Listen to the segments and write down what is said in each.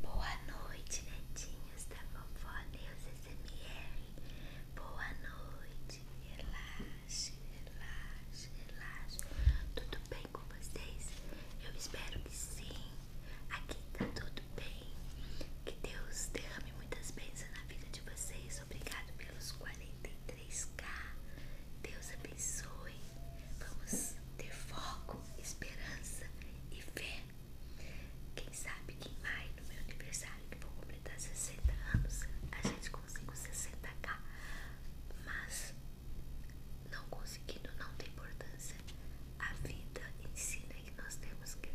Boa noite, netinhos da vovó Deus SMR. Boa noite. Relaxe, relaxe, relaxe. Tudo bem com vocês? Eu espero que sim. Aqui tá tudo bem. Que Deus derrame muitas bênçãos na vida de vocês. Obrigado pelos 43k. Deus abençoe. Vamos ter foco, esperança e fé. Quem sabe que em maio, no meu aniversário, que vou completar 60 anos, a gente consiga 60k. Mas não conseguindo não tem importância. A vida ensina que nós temos que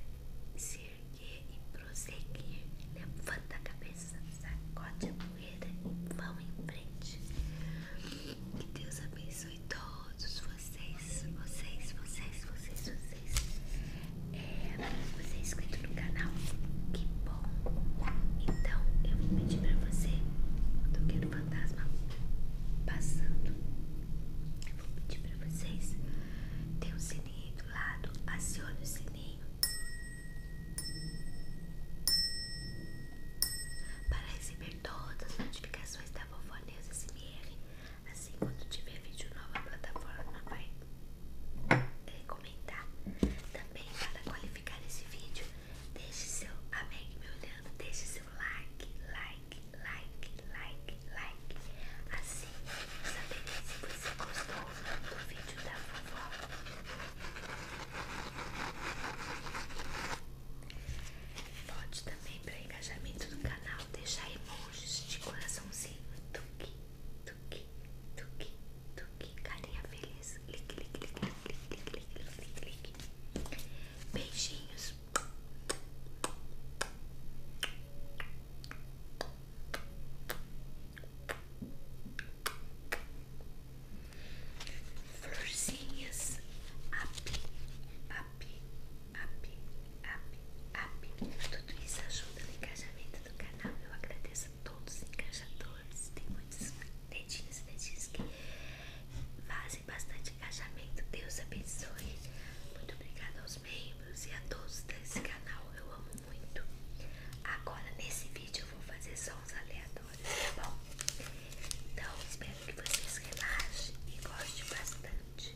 se erguer e prosseguir. Levanta a cabeça, sacode a poeira e vão em frente. Que Deus abençoe e todos vocês, vocês, vocês, vocês, vocês. É, você é inscrito no canal, que bom. Então eu vou pedir pra você, do que o fantasma passando, eu vou pedir pra vocês, tem um sininho do lado, acione o sininho. Para receber todas as notificações da da Vovó Neus SMR. Assim, quando tiver vídeo novo, a plataforma vai é, comentar. Também, para qualificar esse vídeo, deixe seu amém me olhando, deixe seu like, like, like, like, like. Assim, saberei se você gostou do vídeo da vovó. Pode também para engajamento do canal deixar emojis de coraçãozinho, tuque, tuque, tuque, tuque, carinha feliz, clique, clique, clique, clique, clique, clique, clique. Beijinhos florzinhas up, up, up, up, up. Tudo isso ajuda no engajamento do canal. Eu agradeço a todos os engajadores. Tem muitos dedinhos, dedinhos que fazem bastante engajamento. Deus abençoe. Muito obrigada aos membros e a todos desse canal. Eu amo muito. Agora nesse vídeo eu vou fazer sons aleatórios. Tá bom? Então, espero que vocês relaxem e gostem bastante.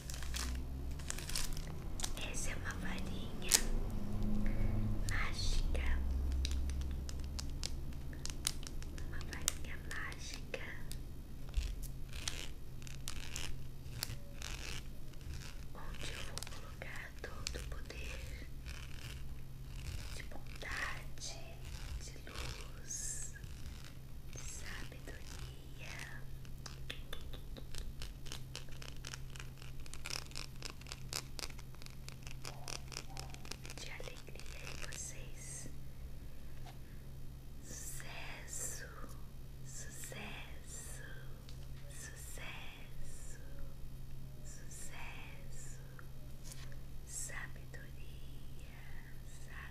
Essa é uma varinha mágica, uma varinha mágica. Onde eu vou colocar todo o poder de bondade, de luz, de sabedoria de alegria em vocês. Sucesso, sucesso, sucesso, sucesso, sabedoria.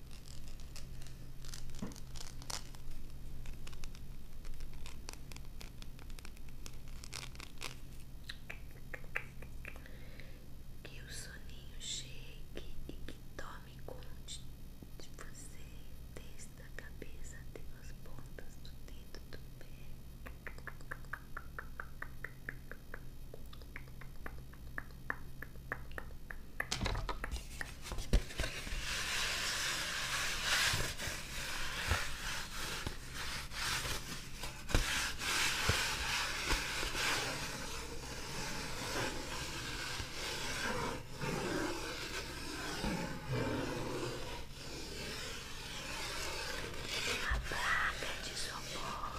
Que o soninho chegue e que tome conta de você, desde a cabeça até as pontas do dedo do pé. Uma placa de isopor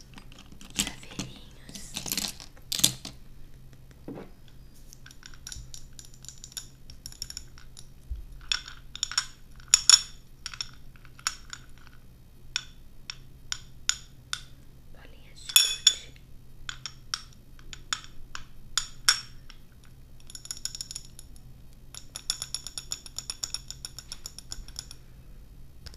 chaveirinhos. Bolinhas de gude.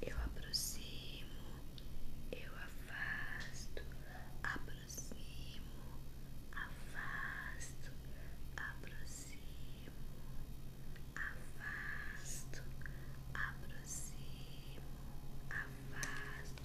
Eu aproximo, eu afasto, aproximo, afasto, aproximo, afasto, aproximo, Afasto,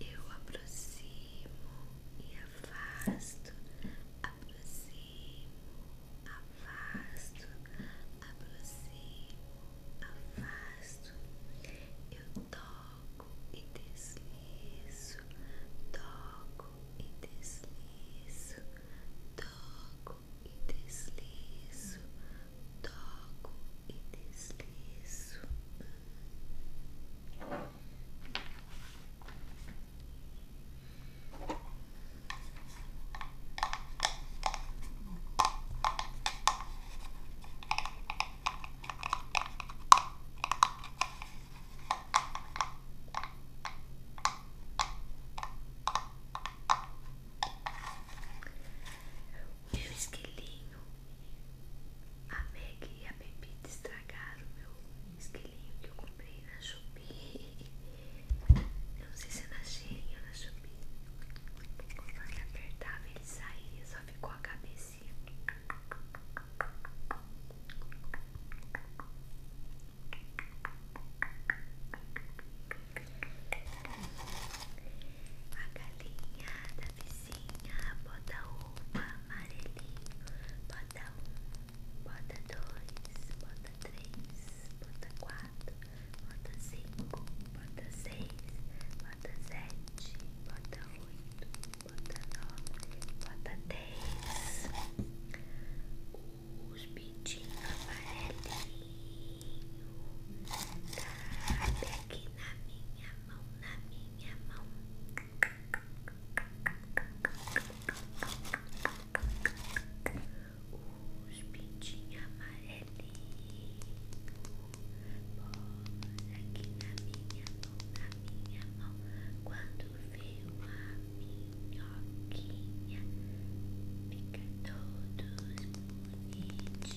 Eu aproximo e afasto aproximo, afasto, aproximo, afasto. Eu toco e deslizo, toco e deslizo, toco e deslizo, toco e deslizo. O meu esquilinho, a Meg e a Pepita estragaram o meu esquilinho que eu comprei na Shopee. eu Não sei se é na cheirinha ou na chupinha. Conforme apertava, ele saía, só ficou a cabecinha. A galinha da vizinha bota uma amarelinho, bota um bota dois, bota três, bota quatro, bota cinco, bota seis, bota sete, bota oito, bota nove, bota dez. Os pintinhos amarelinhos cabe aqui na minha mão, na minha mão. Os pintinhos amarelinhos Bora aqui na minha mão, na minha mão Quando vê a minhoquinha Fica todos bonitinhos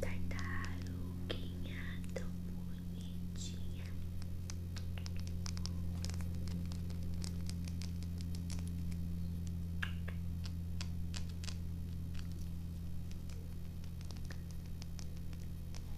Tartaruguinha tão bonitinha. Tartaruguinha,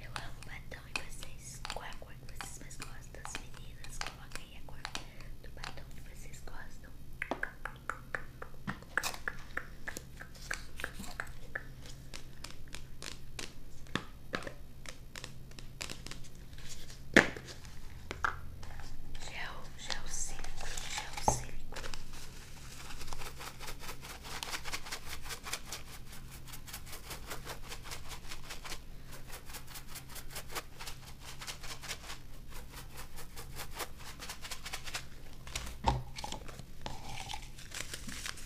Eu amo batom e vocês. Qual é a cor que vocês mais gostam? As meninas, coloquem aí a cor do batom que vocês gostam. Gel, gel seco, gel seco.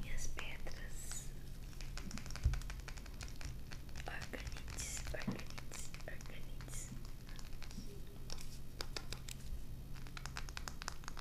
Minhas pedras organites, organites, organites.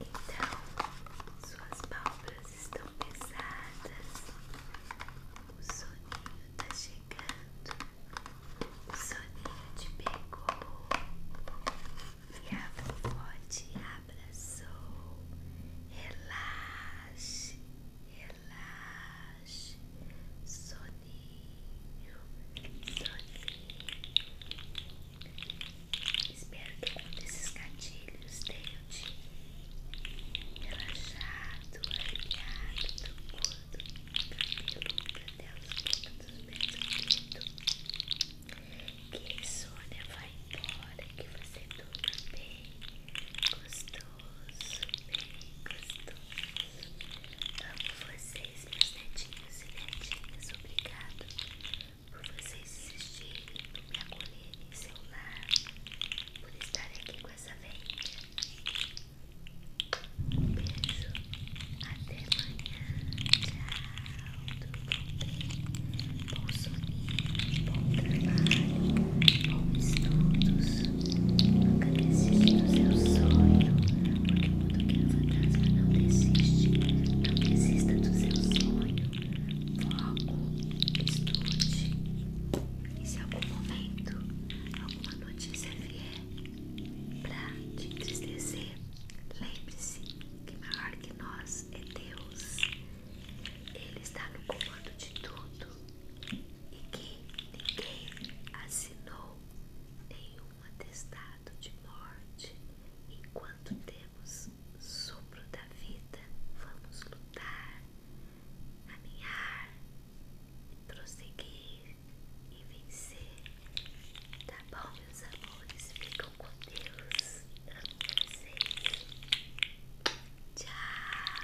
Então, suas pálpebras estão pesadas, o soninho está chegando, o soninho te pegou e a vovó te abraçou. Relaxe, relaxe, soninho, soninho. Espero que com desses gatilhos tenham te relaxado, aliado, tranquilo, cabeludo até os pontos dos pés do Que a insônia vai embora, que você durma bem, gostoso, bem gostoso. Amo vocês, meus netinhos e netinhas. Obrigado por vocês existirem, por me acolherem em seu lar, por estar aqui com essa venda. Um beijo, até amanhã. Tchau, tudo bom? Bom soninho, bom trabalho, bons estudos. Nunca desista do seu sonho, porque quando quer nos não desiste. Não desista do seu sonho. Foco, estude. E se algum momento, alguma notícia vier pra te entristecer, lembre-se que maior que nós é Deus. É Ele está no comando de tudo e que ninguém assinou nenhum atestado de morte enquanto Deus temos sopro da vida, vamos lutar, caminhar, prosseguir e vencer. Tá bom, meus amores? fiquem com Deus. Amo vocês. Tchau.